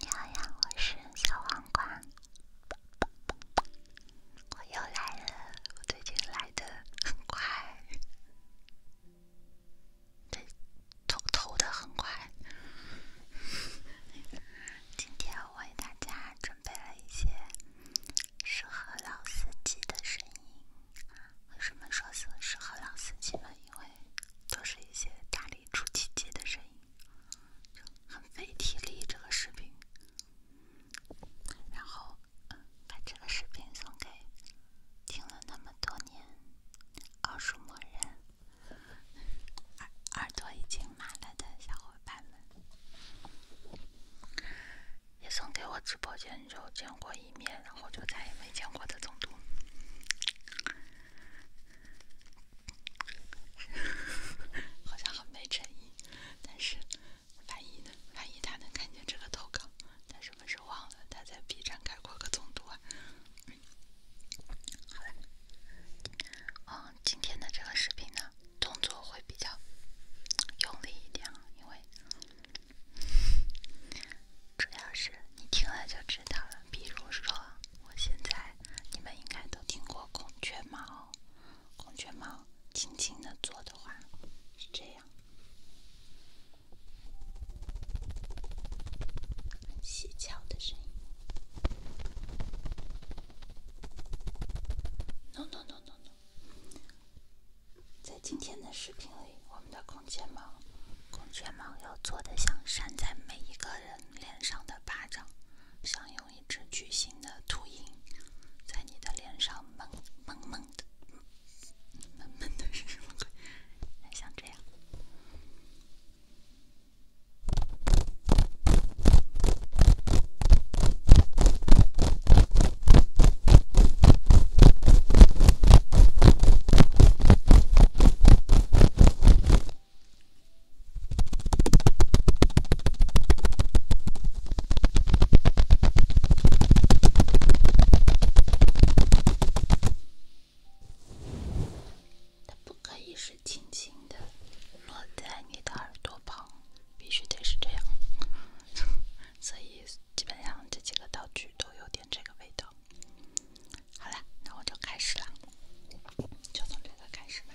你好呀，我是小黄瓜，我又来了，我最近来的很快，对，投投的很快。今天我为大家准备了一些适合老司机的声音。为什么说是适合老司机呢？因为都是一些大力出奇迹的声音，就很费体力这个视频。然后把这个视频送给听了那么多年奥数魔人耳耳朵已经麻了的小伙伴们，也送给我直播间。就见过一面，然后就再也没见过的总督，好像很没诚意。但是，万一呢？万一他能看见这个投稿，他是不是忘了他在 B 站开过个总督啊？好嘞，嗯，今天的这个视频呢，动作会比较用力一点，啊，因为。主要是你听了就知道了。比如说，我现在，你们应该都听过孔雀毛，孔雀毛轻轻的做的话，是这样，很细巧的声音。No no no no no。在今天的视频里，我们的孔雀毛，孔雀毛要做的像扇在每一个人脸上的巴掌，像用一只巨型的秃鹰在你的脸上闷闷闷的，它不可以是轻轻的落在你的耳朵旁，必须得是这样，所以。基本上这几个道具都有点这个味道。好啦，那我就开始啦，就从这个开始吧。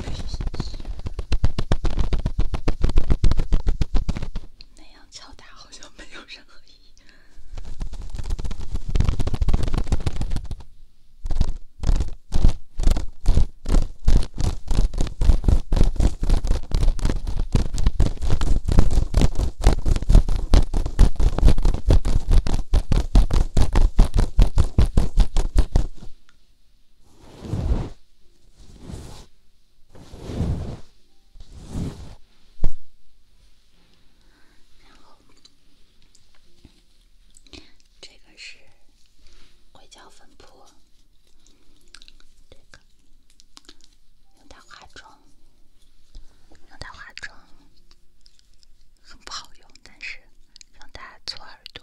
那样敲打好像没有任何意义。然后，这个是硅胶粉扑，这个用它化妆，用它化妆很不好用，但是。用它搓耳朵，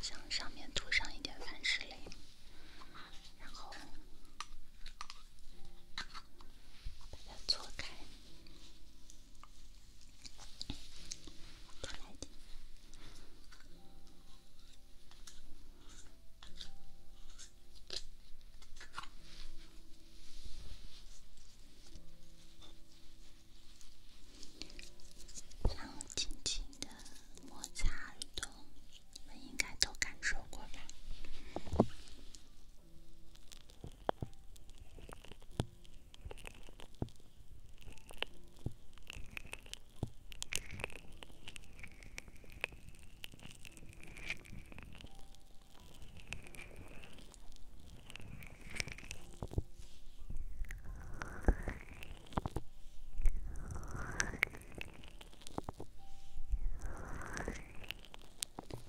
向上面涂上一点凡士林，然后把它搓开，出来点，然后轻轻的。摩擦的，你们应该都感受过吧。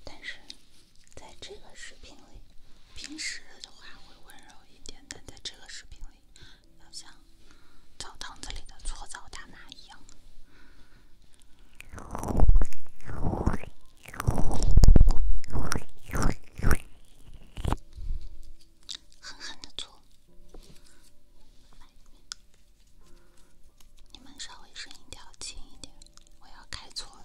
但是，在这个视频里，平时的话会温柔一点，但在这个视频里，好像澡堂子里的搓澡大妈一样。狠狠的做！你们稍微声音调轻一点，我要改错了。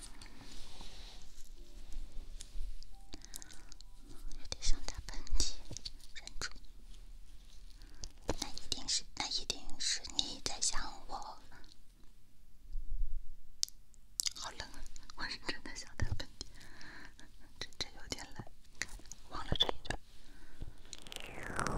有点想打喷嚏，忍住。那一定是，那一定是你在想我。好冷啊！我是真的想打喷嚏，真真有点冷。忘了这一段。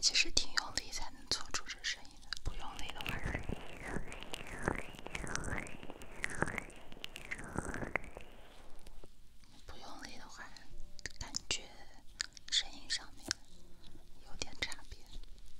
其实挺用力才能做出这声音的，不用力的话，感觉声音上面有点差别。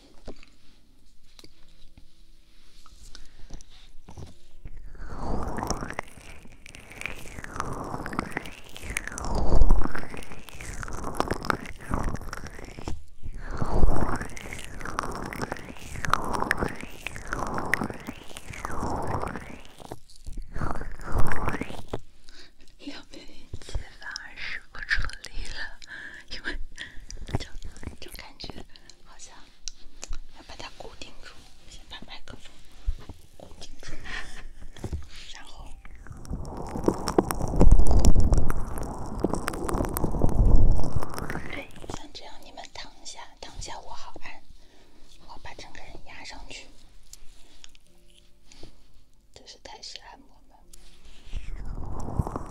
两百零几，反而是不出了，因为就就感觉好像。要把它固定住，先把麦克风固定住然后，像这样你们躺下，躺下我好按，我把整个人压上去，这是泰式按摩嘛。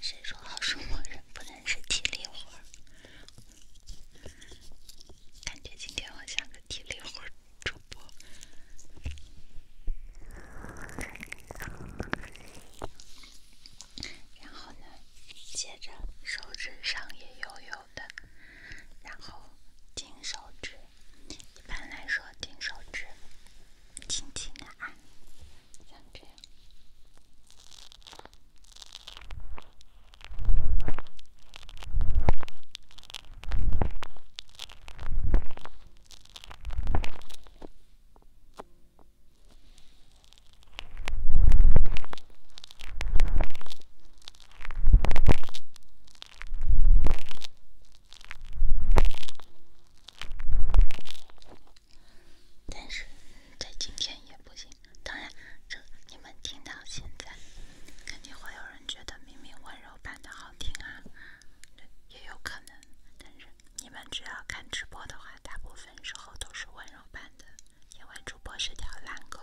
谁说好生活人不能是体力活感觉今天我像个体力活主播。然后呢，接着手指上也油油的。然后，金手指，一般来说，金手指轻轻的按，像这样。但是在今天也不行。当然，这你们听到现在，肯定会有人觉得明明温柔版的好听啊，也有可能。但是你们只要看直播的话，大部分时候都是温柔版的，因为主播是条懒狗。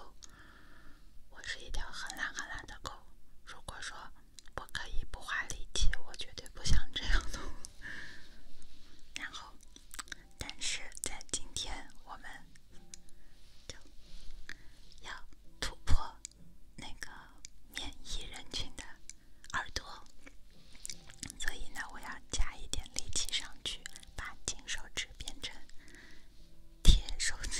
我是一条很懒很懒的狗。如果说我可以不花力气，我绝对不想这样的。然后，但是在今天我们就要突破那个免疫人群的耳朵，所以呢，我要加一点力气上去，把金手指变成。贴手指。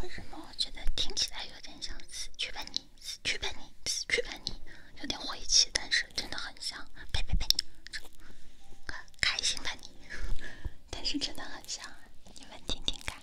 为什么我觉得听起来有点像“死去吧你，死去吧你，死去吧你”，有点晦气，但是真的很像。呸呸呸，开心吧你！但是真的很像，你们听听看。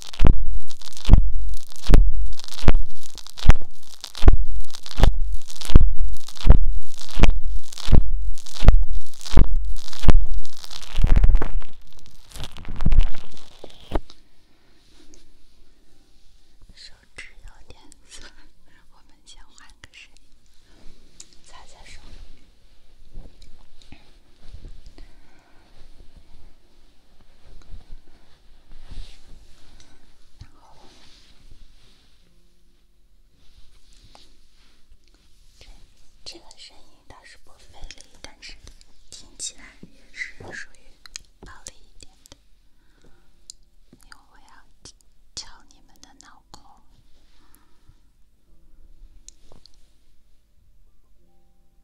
手指有点酸，我们先换个手，擦擦手。这这个声音倒是不费力，但是听起来也是属于暴力一点的，因为我要敲你们的脑壳。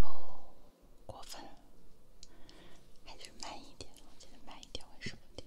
哦，过分，了。还是慢一点我尽得慢一点，会舒服点。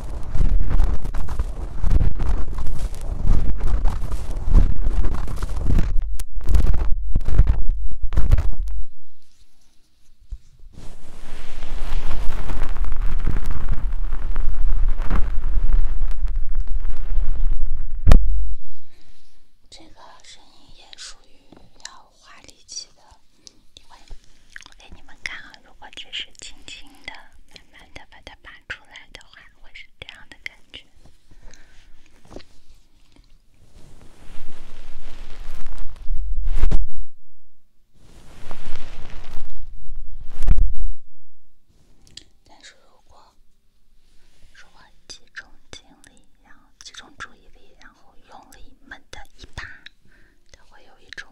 这个声音也属于要花力气的。因我给你们看啊，如果只是轻轻的、慢慢的把它拔出来的话，会是这样的感觉。但是如果如果集中精力，然后集中注意力，然后用力猛地一拔，它会有一种。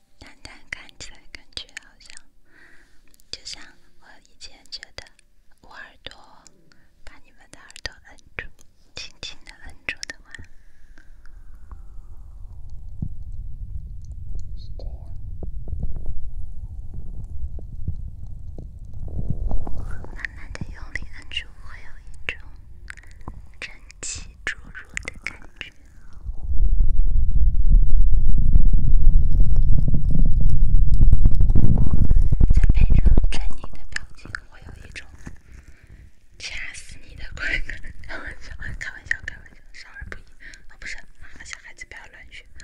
淡淡起来感觉好像，就像我以前觉得，我耳朵把你们的耳朵摁住，轻轻的摁住的话，是这样。慢慢的用力摁住，会有一种蒸汽注入的感觉。再配上狰狞的表情，我有一种掐死你的快感。开玩笑，开玩笑，开玩笑，少儿不宜。啊，不是，哪个小孩子不要乱训啊？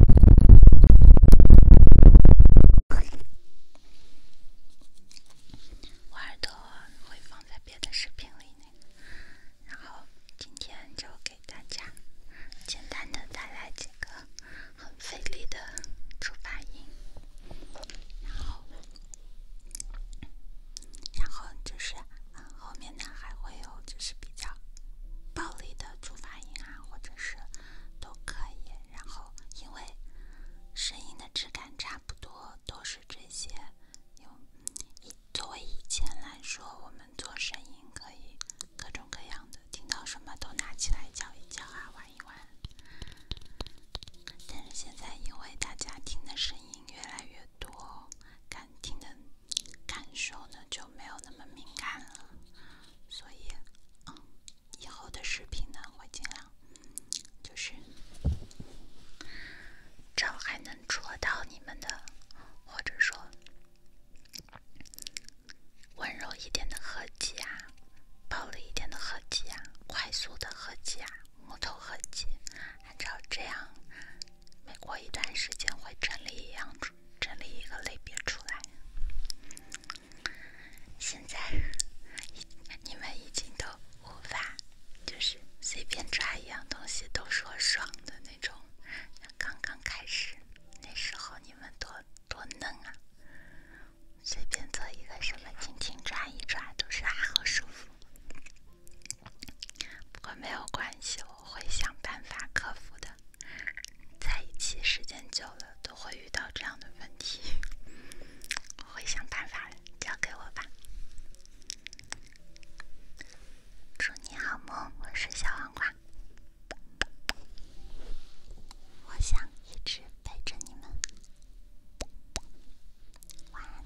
我耳朵会放在别的视频里呢，然后今天就给大家简单的带来几个很费力的主发音，然后然后就是后面呢还会有就是比较暴力的触发音啊。或者是都可以，然后因为声音的质感差不多都是这些。有以作为以前来说，我们做声音可以各种各样的，听到什么都拿起来敲一敲啊，玩一玩。但是现在，因为大家听的声音越来越多，感听的感受呢就没有那么敏感了。所以，嗯，以后的视频呢，会尽量就是找还能戳到你们的，或者说温柔一点的合集啊，暴力一点的合集啊，快速的合集啊，木头合集，按照这样，每过一段时间会整理一样出。整理一个类别出来。现在，你们已经都无法，就是随便抓一样东西都说爽的那种。刚刚开始，那时候你们多多嫩啊！随便做一个什么轻轻抓一抓，都是啊，好舒服。不过没有关系了。我会想办法克服的，在一起时间久了都会遇到这样的问题，会想办法，的，交给我吧。祝你好梦，我是小黄瓜，我想一直陪着你们，晚安。